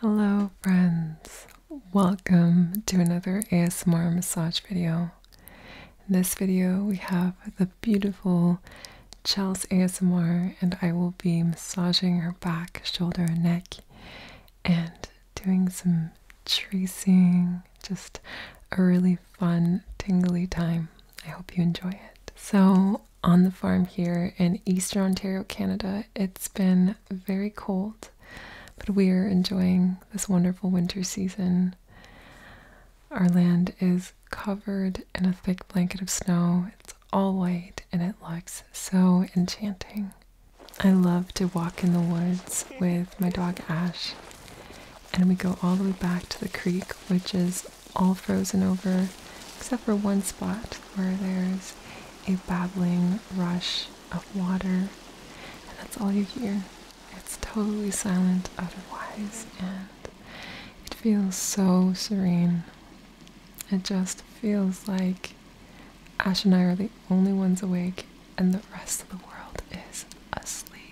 Hello friends, welcome to another ASMR massage video. In this video we have the beautiful Chels ASMR and I will be massaging her back, shoulder and neck and doing some tracing, just a really fun tingly time. I hope you enjoy it. So on the farm here in Eastern Ontario, Canada. It's been very cold, but we are enjoying this wonderful winter season. Our land is covered in a thick blanket of snow. It's all white and it looks so enchanting. I love to walk in the woods with my dog Ash, and we go all the way back to the creek, which is all frozen over except for one spot where there's a babbling rush of water, and that's all you hear. It's totally silent otherwise, and it feels so serene. It just feels like Ash and I are the only ones awake, and the rest of the world is asleep.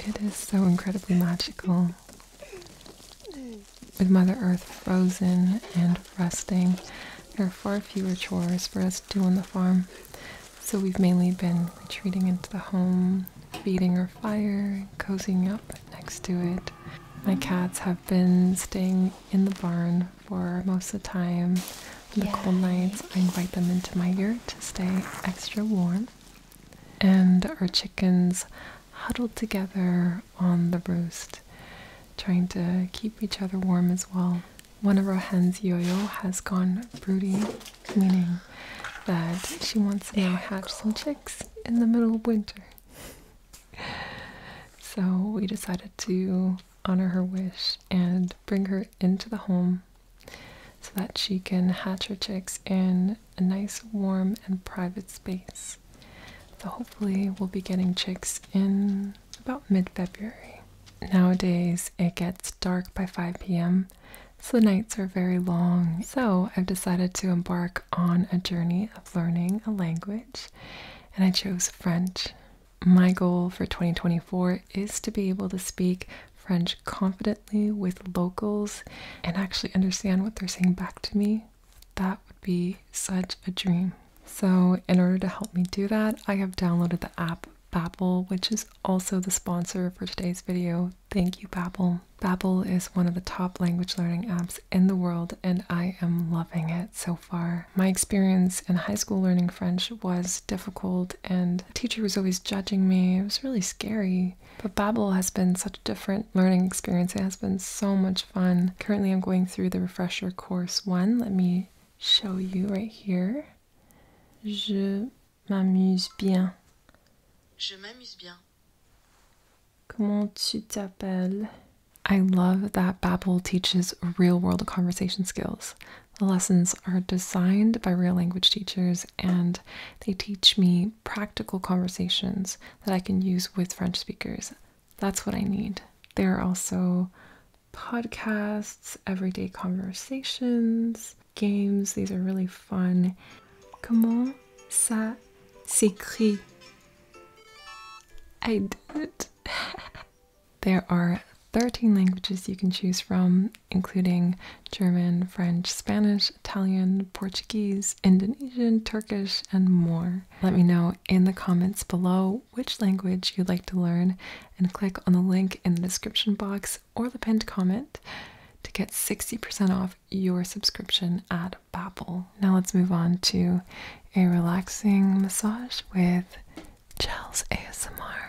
It is so incredibly magical. With Mother Earth frozen and resting, there are far fewer chores for us to do on the farm. So we've mainly been retreating into the home, feeding our fire, cozying up next to it. My cats have been staying in the barn for most of the time. the cold nights, I invite them into my yurt to stay extra warm. And our chickens huddled together on the roost, trying to keep each other warm as well. One of our hens, yo-yo has gone broody, meaning that she wants to hatch some chicks in the middle of winter. So we decided to honor her wish and bring her into the home so that she can hatch her chicks in a nice, warm, and private space. So hopefully we'll be getting chicks in about mid-February. Nowadays it gets dark by 5 p.m. So the nights are very long. So I've decided to embark on a journey of learning a language and I chose French. My goal for 2024 is to be able to speak French confidently with locals and actually understand what they're saying back to me. That would be such a dream. So, in order to help me do that, I have downloaded the app Babbel, which is also the sponsor for today's video. Thank you, Babbel. Babbel is one of the top language learning apps in the world, and I am loving it so far. My experience in high school learning French was difficult, and the teacher was always judging me. It was really scary. But Babbel has been such a different learning experience. It has been so much fun. Currently, I'm going through the refresher course one. Let me show you right here. Je m'amuse bien. Je m'amuse bien. Comment tu t'appelles? I love that Babbel teaches real world conversation skills. The lessons are designed by real language teachers and they teach me practical conversations that I can use with French speakers. That's what I need. There are also podcasts, everyday conversations, games. These are really fun. Comment ça s'écrit? I did there are 13 languages you can choose from, including German, French, Spanish, Italian, Portuguese, Indonesian, Turkish, and more. Let me know in the comments below which language you'd like to learn and click on the link in the description box or the pinned comment to get 60% off your subscription at Babbel. Now let's move on to a relaxing massage with Gels ASMR.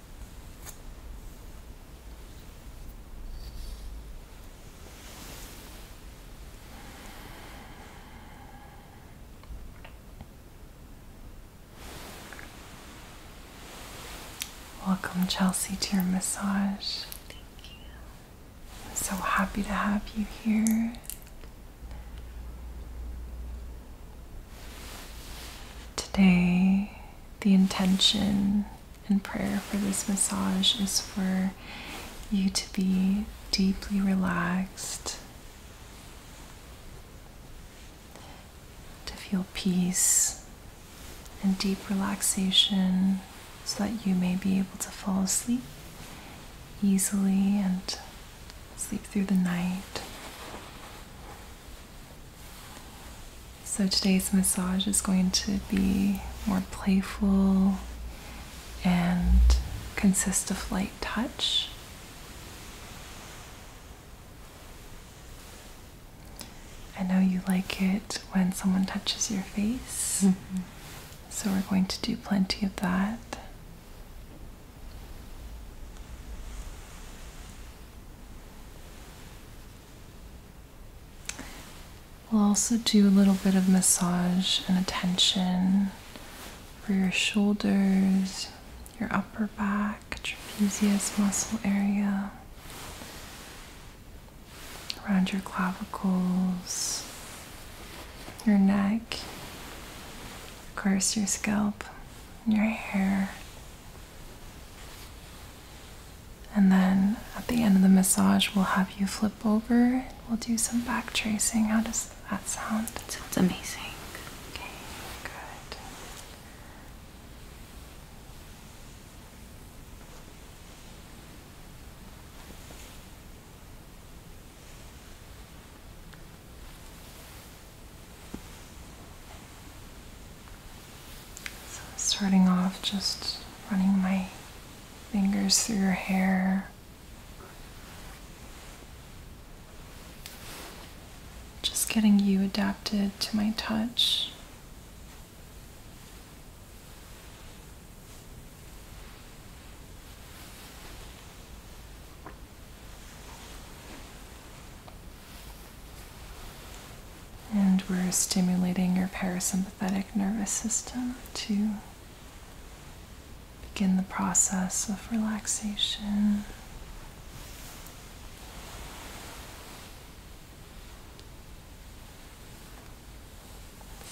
Welcome, Chelsea, to your massage. Thank you. I'm so happy to have you here. Today, the intention and prayer for this massage is for you to be deeply relaxed, to feel peace and deep relaxation so that you may be able to fall asleep easily and sleep through the night. So today's massage is going to be more playful and consist of light touch. I know you like it when someone touches your face, mm-hmm. so we're going to do plenty of that. We'll also do a little bit of massage and attention for your shoulders, your upper back, trapezius muscle area, around your clavicles, your neck, of course, your scalp, your hair. And then at the end of the massage, we'll have you flip over. We'll do some back tracing. How does that sound? That sounds amazing. Okay, good. So, starting off just running my fingers through your hair. Just getting you adapted to my touch. And we're stimulating your parasympathetic nervous system to begin the process of relaxation.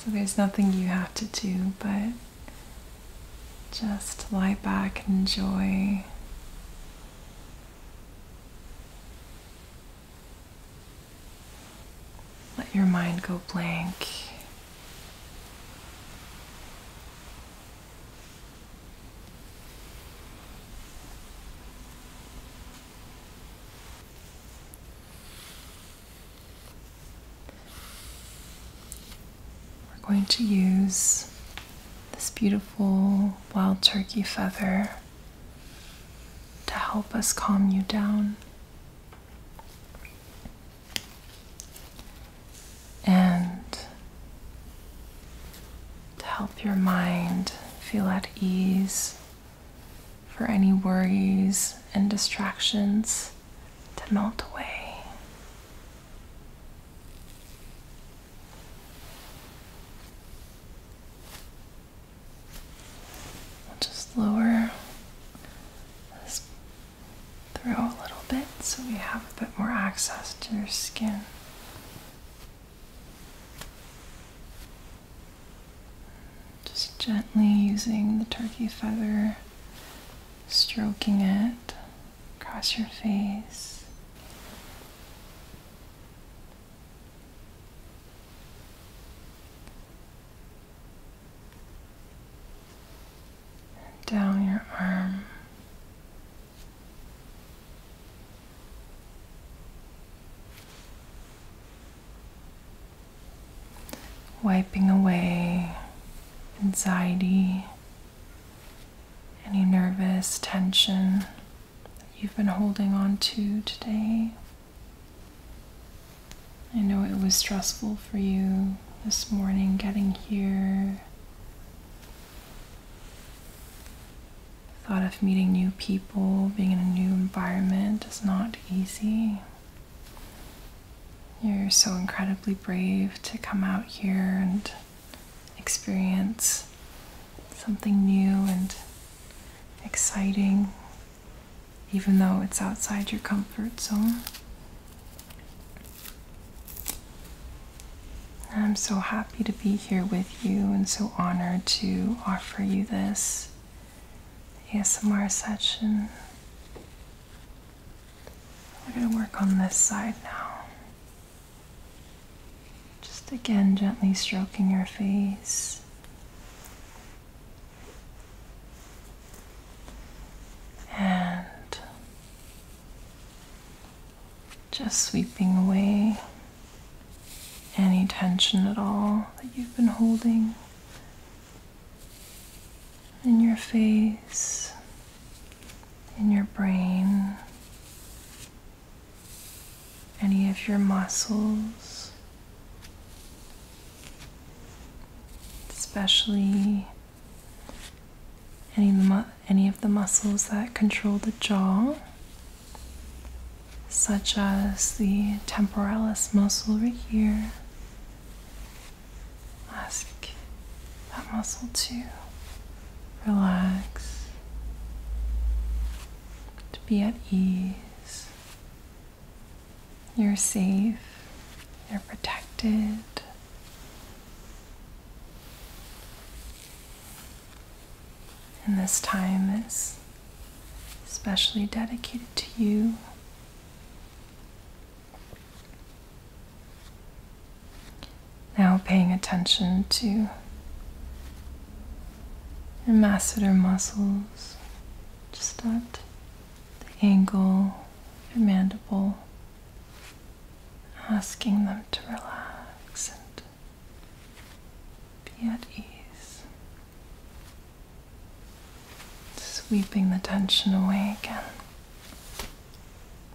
So there's nothing you have to do but just lie back and enjoy let your mind go blank we're going to use this beautiful wild turkey feather to help us calm you down. And to help your mind feel at ease for any worries and distractions to melt away just lower this through a little bit so we have a bit more access to your skin. Just gently using the turkey feather, stroking it across your face. And down your arm. Wiping away anxiety any nervous tension that you've been holding on to today. I know it was stressful for you this morning getting here. The thought of meeting new people, being in a new environment is not easy. You're so incredibly brave to come out here and experience something new and exciting, even though it's outside your comfort zone. I'm so happy to be here with you and so honored to offer you this ASMR session. We're going to work on this side now. Just again gently stroking your face. And just sweeping away any tension at all that you've been holding in your face in your brain, any of your muscles, especially any, of the muscles that control the jaw, such as the temporalis muscle right here. Ask that muscle too relax, to be at ease. You're safe, you're protected. And this time is especially dedicated to you. Now paying attention to your masseter muscles, just at the angle of your mandible, asking them to relax and be at ease. Sweeping the tension away again.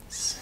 Sweep.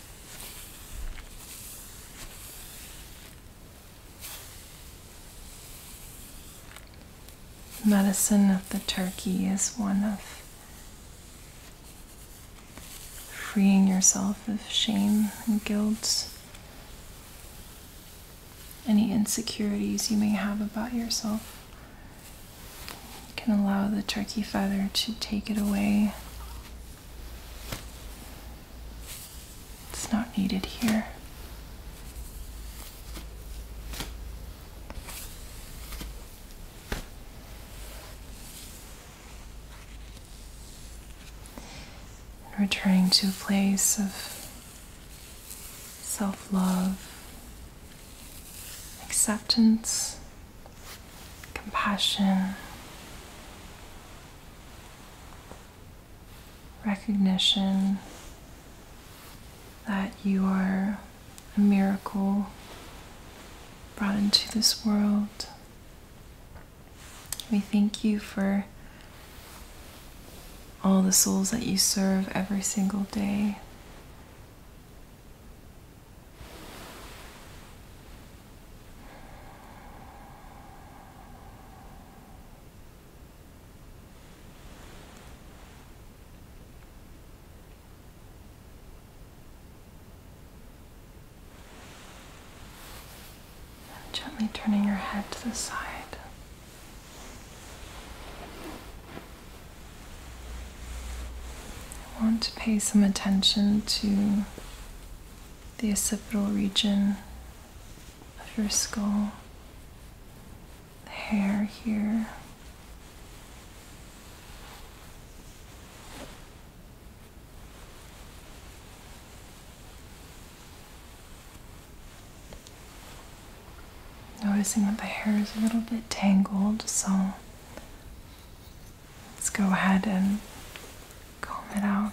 Medicine of the turkey is one of freeing yourself of shame and guilt, any insecurities you may have about yourself. can allow the turkey feather to take it away it's not needed here. Returning to a place of self love, acceptance, compassion, recognition that you are a miracle brought into this world. We thank you for all the souls that you serve every single day gently turning your head to the side. I want to pay some attention to the occipital region of your skull, the hair here. Noticing that the hair is a little bit tangled, so Let's go ahead and comb it out.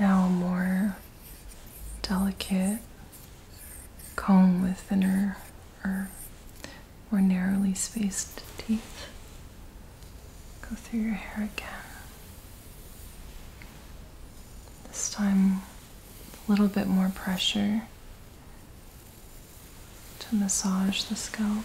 Now, a more delicate comb with thinner or more narrowly spaced teeth. Go through your hair again. This time, a little bit more pressure to massage the scalp.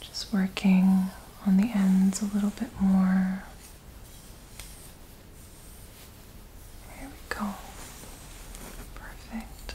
Just working on the ends a little bit more. There we go. Perfect.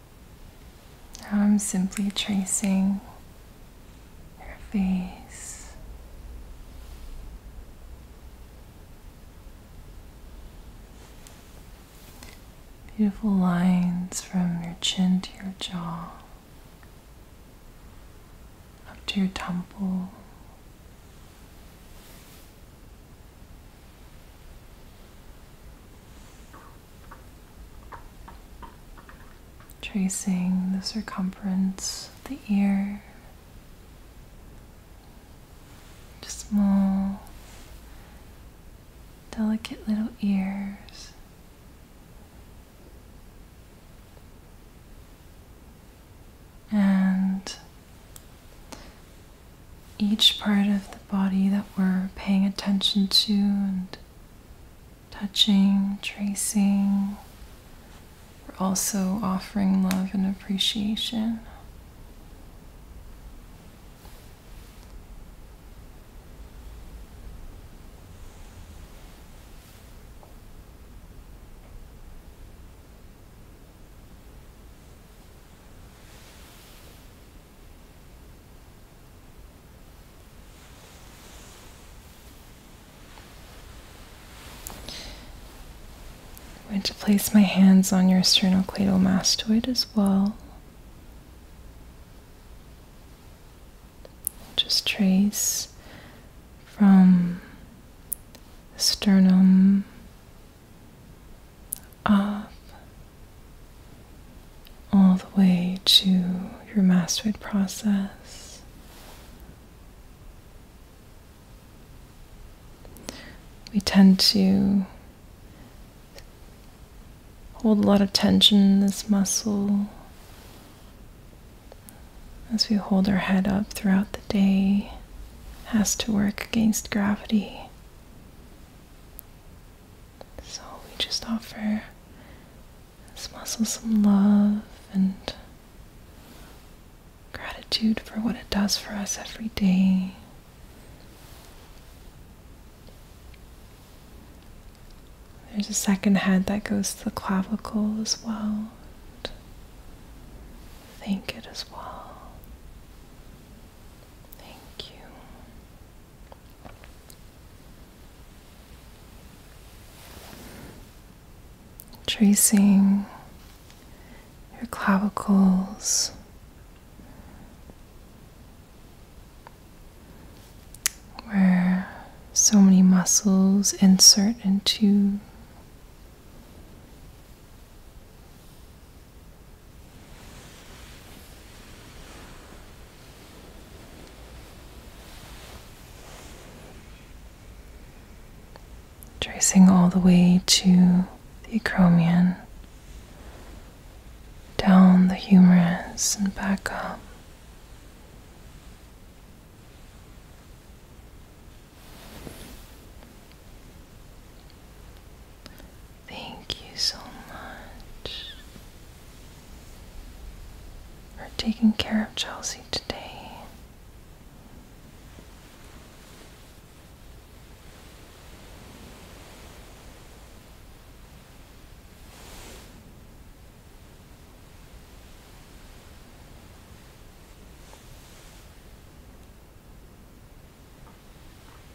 Now I'm simply tracing your face. Beautiful lines from your chin to your jaw, up to your temple. Tracing the circumference of the ear, just small, delicate little ears. And each part of the body that we're paying attention to, and touching, tracing. We're also offering love and appreciation. I'm going to place my hands on your sternocleidomastoid as well. Just trace from sternum up all the way to your mastered process. We tend to hold a lot of tension in this muscle as we hold our head up throughout the day has to work against gravity so we just offer this muscle some love and gratitude for what it does for us every day. There's a second head that goes to the clavicle as well. thank it as well. Thank you. Tracing your clavicles, where so many muscles insert into. Tracing all the way to the acromion, down the humerus, and back up. Thank you so much for taking care of Chelsea today.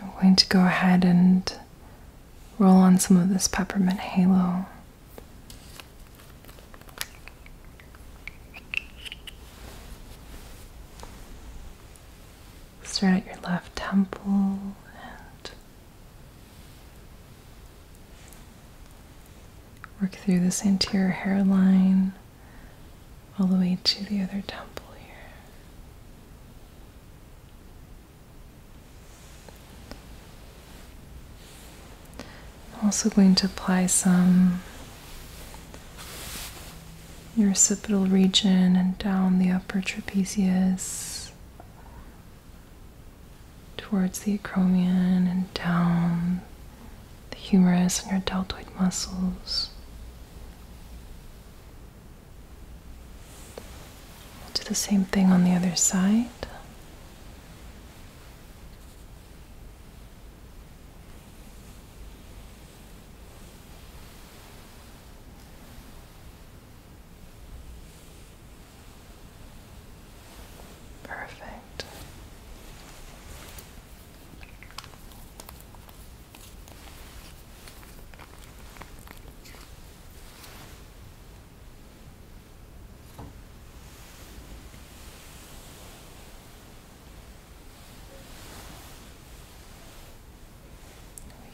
I'm going to go ahead and roll on some of this peppermint halo. Start at your left temple and Work through this anterior hairline all the way to the other temple here. I'm also going to apply some your occipital region and down the upper trapezius towards the acromion and down the humerus and your deltoid muscles. do the same thing on the other side. Perfect.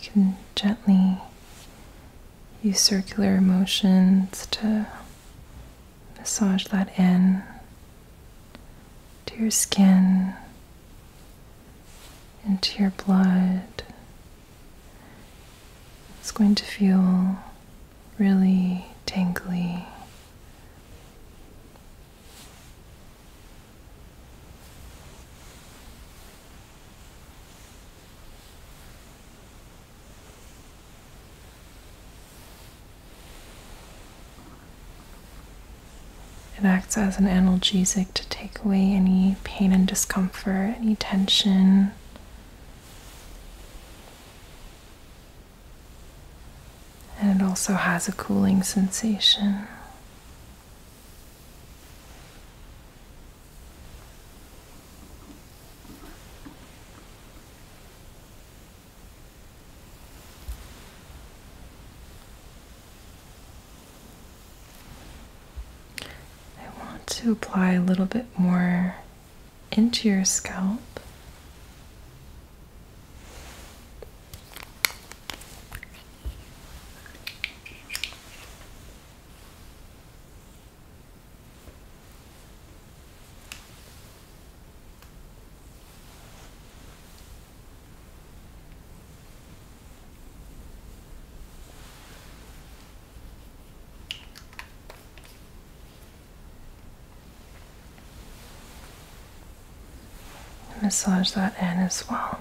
We can gently use circular motions to massage that in to your skin, into your blood. It's going to feel really tingly. It acts as an analgesic to take away any pain and discomfort, any tension. And it also has a cooling sensation. I want to apply a little bit more into your scalp. Massage that in as well.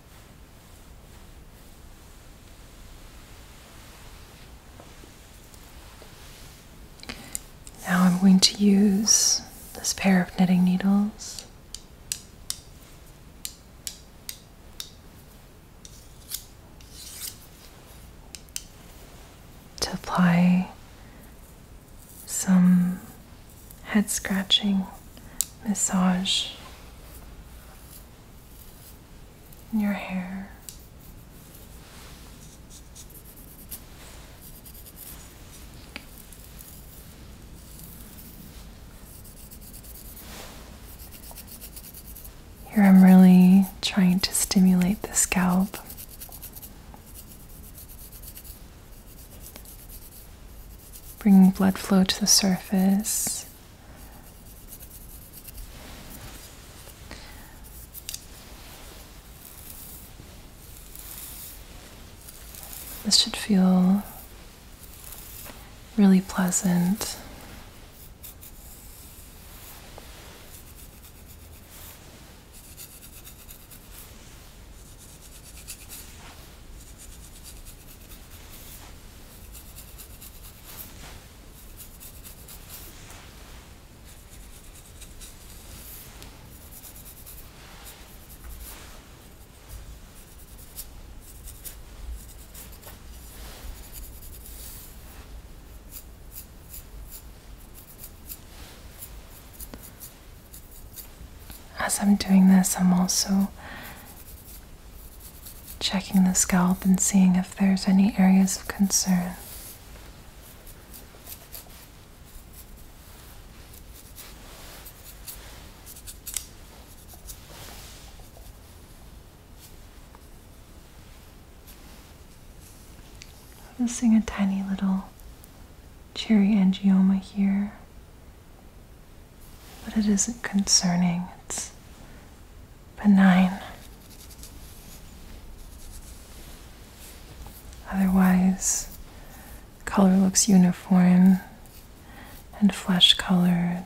Now I'm going to use this pair of knitting needles. To apply some head scratching massage and your hair. Here I'm really trying to stimulate the scalp. Bringing blood flow to the surface, this should feel really pleasant. As I'm doing this, I'm also Checking the scalp and seeing if there's any areas of concern. Noticing a tiny little cherry angioma here but it isn't concerning, it's benign. Otherwise, color looks uniform and flesh colored.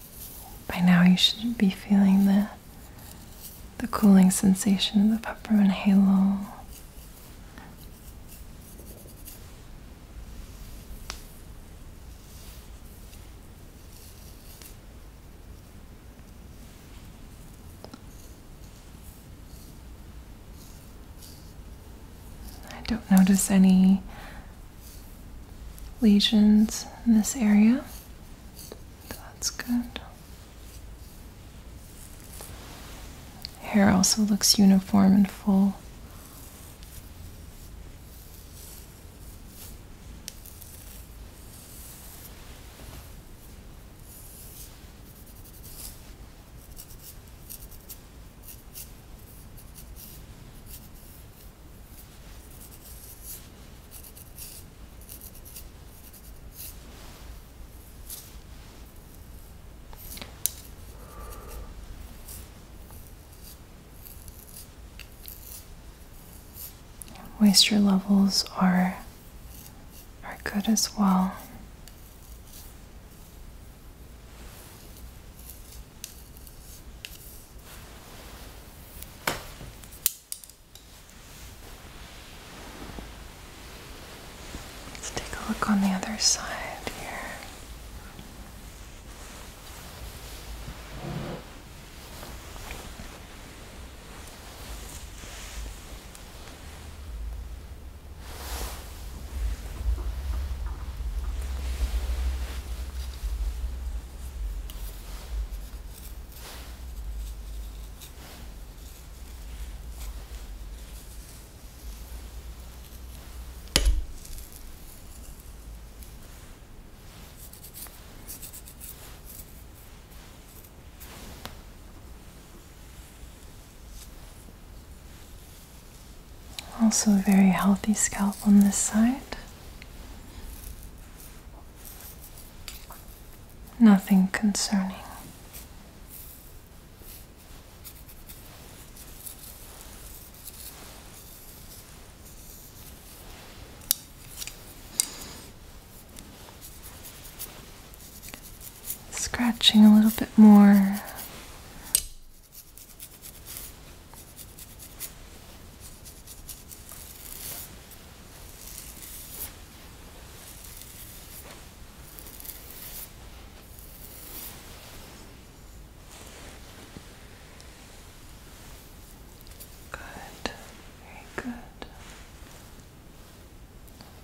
By now, you should be feeling the, the cooling sensation of the peppermint halo. I don't notice any lesions in this area. That's good. Hair also looks uniform and full. Moisture levels are are good as well. Let's take a look on the other side here. Also, a very healthy scalp on this side. Nothing concerning. Scratching a little bit more. Good, very good.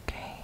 Okay.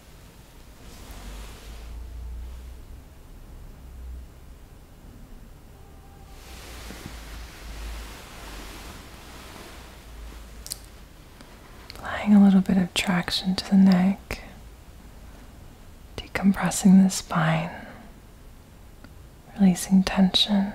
Applying a little bit of traction to the neck, decompressing the spine, releasing tension.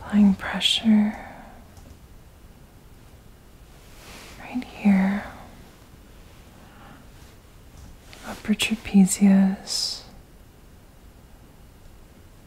Applying pressure right here, upper trapezius,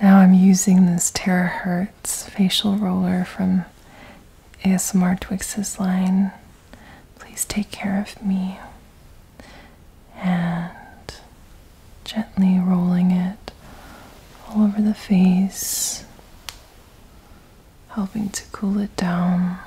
Now I'm using this Terahertz facial roller from ASMR Twix's line. Please take care of me. And gently rolling it all over the face, helping to cool it down.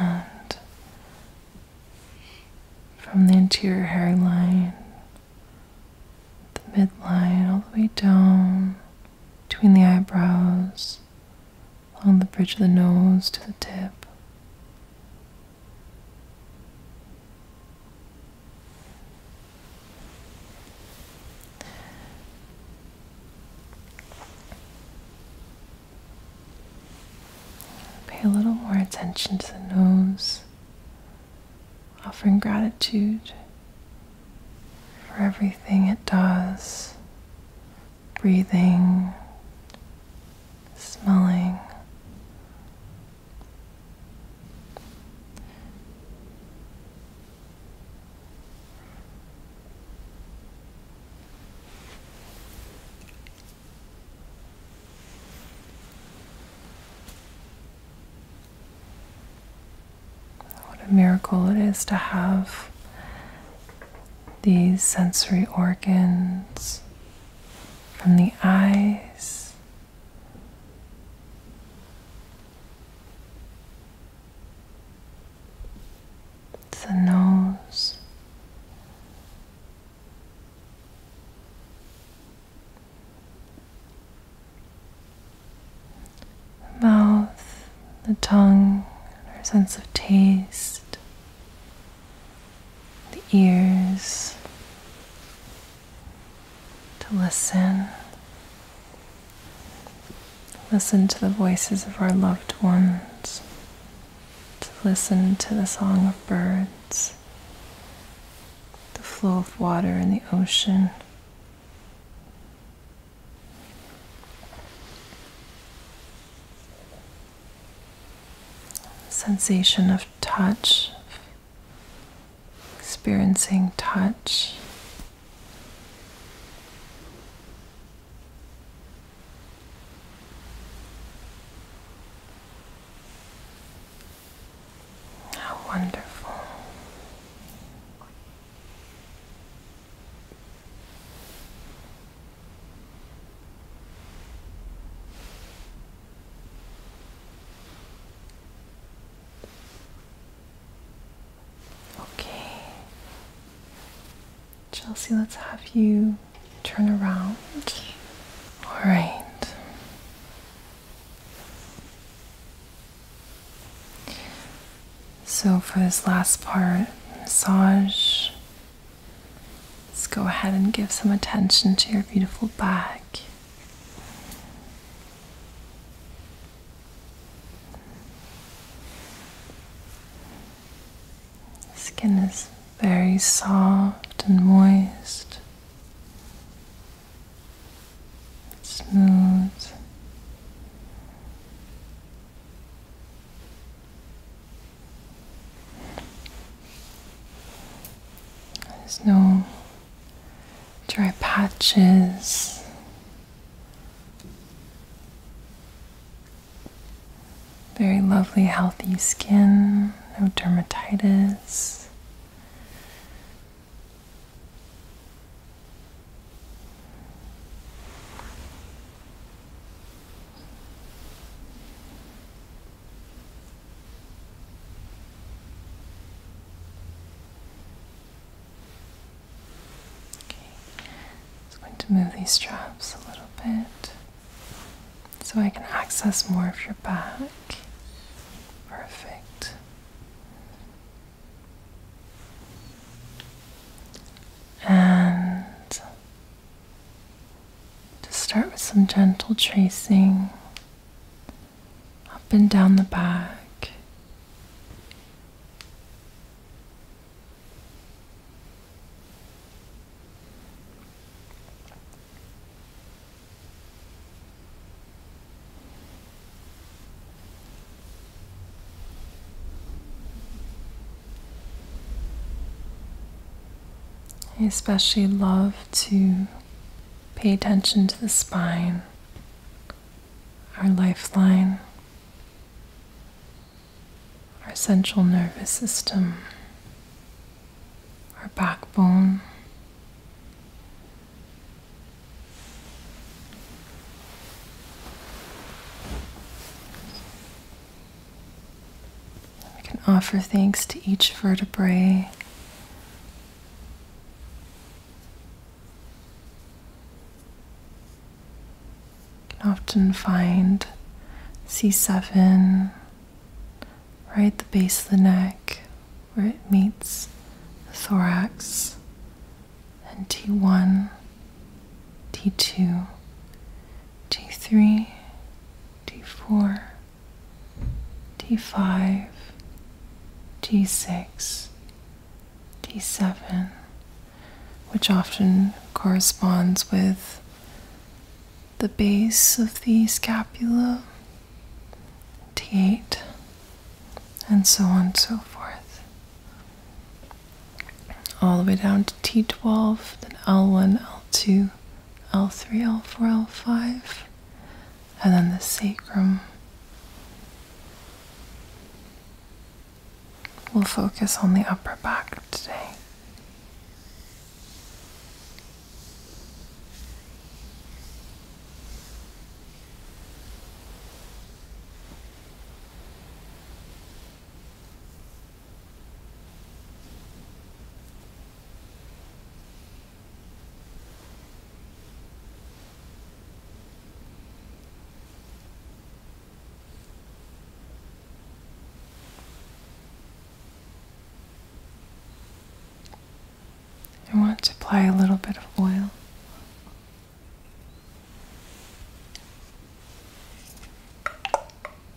And from the interior hairline, the midline, all the way down between the eyebrows, along the bridge of the nose to the tip. Pay a little more attention to the nose, offering gratitude for everything it does breathing, smelling. What a miracle it is to have these sensory organs from the eyes the nose. The mouth, the tongue, our sense of taste, the ears to listen. Listen to the voices of our loved ones, to listen to the song of birds, the flow of water in the ocean sensation of touch, experiencing touch. How wonderful. Okay. Chelsea, let's have you turn around. All right. So, for this last part, massage Let's go ahead and give some attention to your beautiful back. skin is very soft and moist, smooth. There's no dry patches. Very lovely, healthy skin, no dermatitis. I'm going to move these straps a little bit so I can access more of your back. Perfect. And to start with some gentle tracing up and down the back. I especially love to pay attention to the spine, our lifeline, our central nervous system, our backbone. We can offer thanks to each vertebrae. You can often find C7 right at the base of the neck where it meets the thorax and T1 d2, d3, d4, d5, d6, d7, which often corresponds with the base of the scapula, d8, and so on and so forth all the way down to T12, then L1, L2, L3, L4, L5, and then the sacrum. We'll focus on the upper back today. I want to apply a little bit of oil.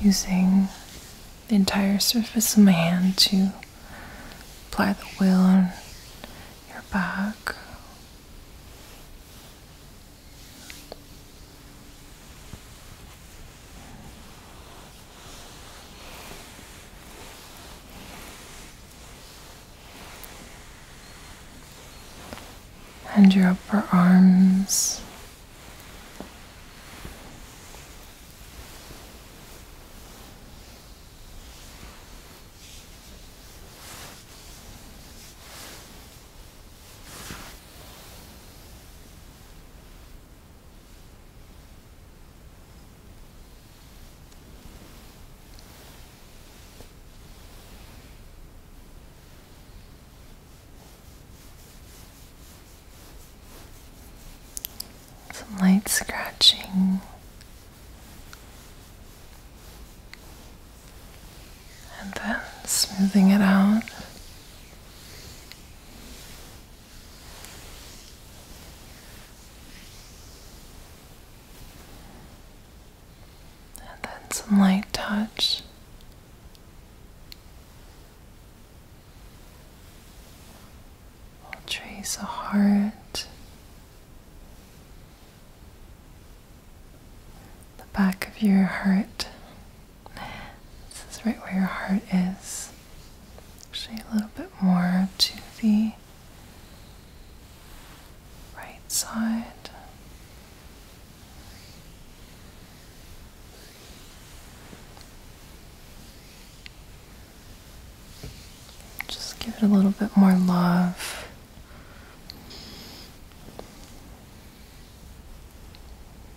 Using the entire surface of my hand to apply the wheel on your back and your upper arms. Some light scratching and then smoothing it out. And then some light touch. We'll trace a heart, the back of your heart, this is right where your heart is. Actually, a little bit more to the right side. Just give it a little bit more love.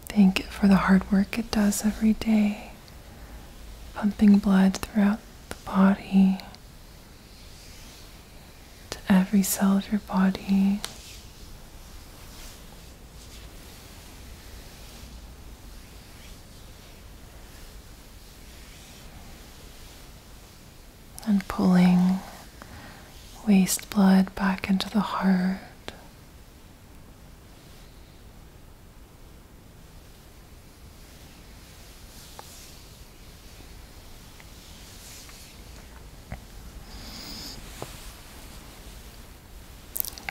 Thank it for the hard work it does every day, pumping blood throughout the body to every cell of your body. And pulling waste blood back into the heart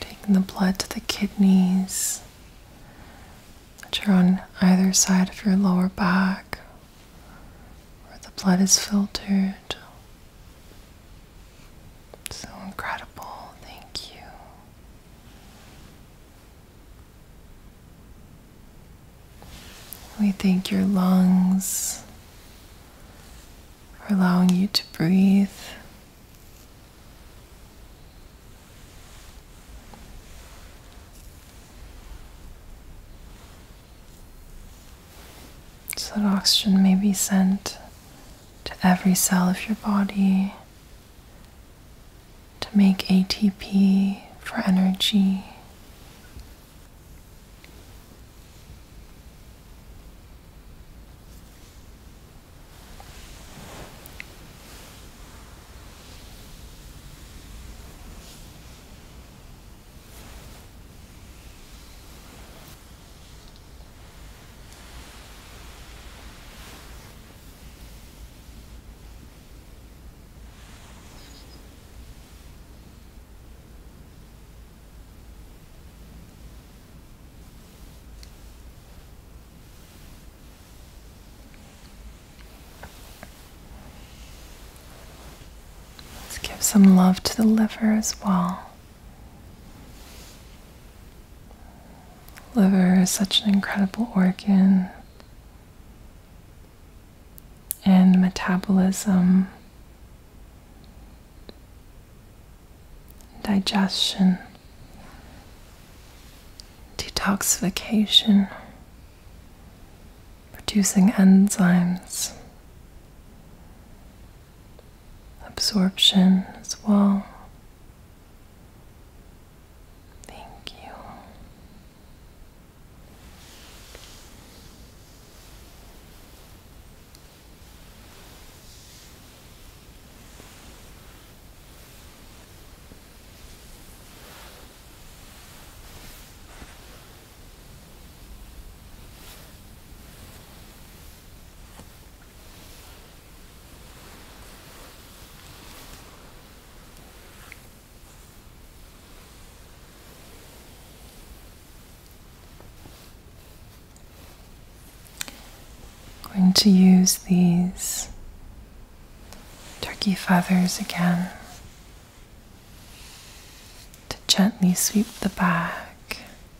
Taking the blood to the kidneys, which are on either side of your lower back, where the blood is filtered. So incredible, thank you. We thank your lungs for allowing you to breathe. So that oxygen may be sent to every cell of your body to make ATP for energy. Let's give some love to the liver as well. Liver is such an incredible organ, and metabolism, digestion, detoxification, producing enzymes absorption as well. Thank you. I'm going to use these turkey feathers again to gently sweep the back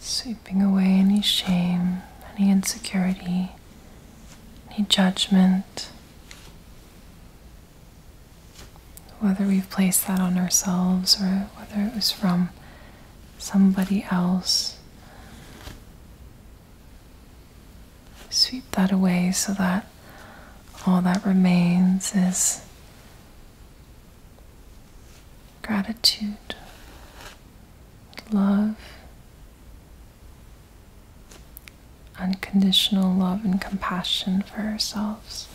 sweeping away any shame, any insecurity, any judgment. Whether we've placed that on ourselves or whether it was from somebody else, sweep that away so that all that remains is gratitude, love, unconditional love and compassion for ourselves.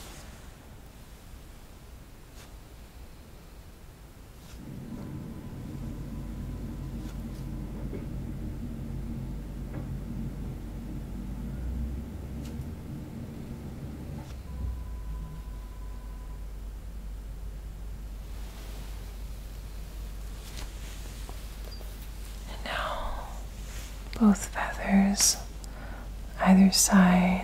And now both feathers either side.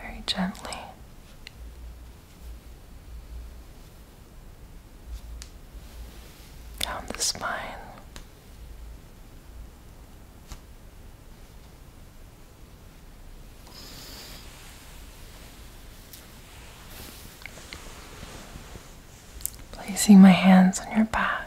Very gently down the spine. Placing my hands on your back.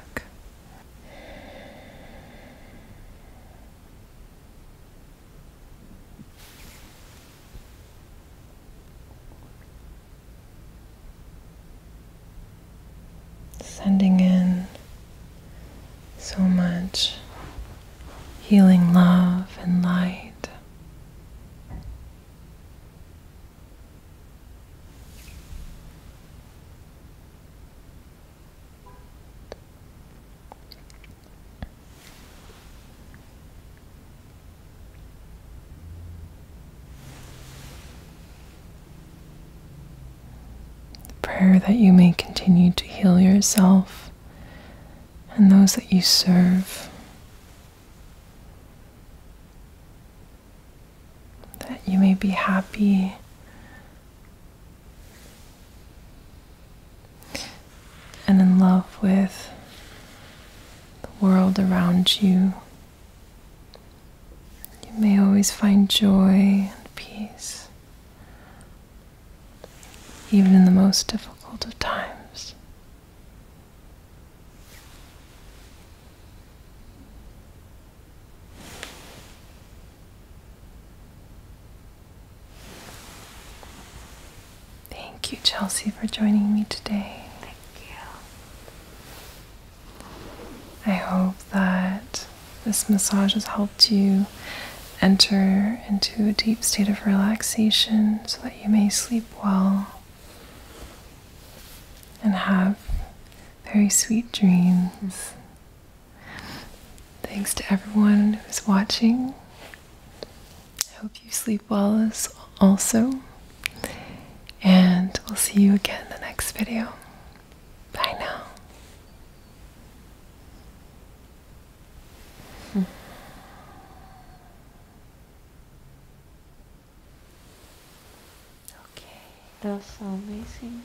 Sending in so much healing love and light. Prayer that you may continue to heal yourself and those that you serve. That you may be happy and in love with the world around you. You may always find joy and peace, even in the most difficult of times. Thank you, Chelsea, for joining me today. Thank you. I hope that this massage has helped you enter into a deep state of relaxation so that you may sleep well and have very sweet dreams. Mm-hmm. Thanks to everyone who's watching. I hope you sleep well as also. And we'll see you again in the next video. Bye now. Hmm. Okay, that's amazing.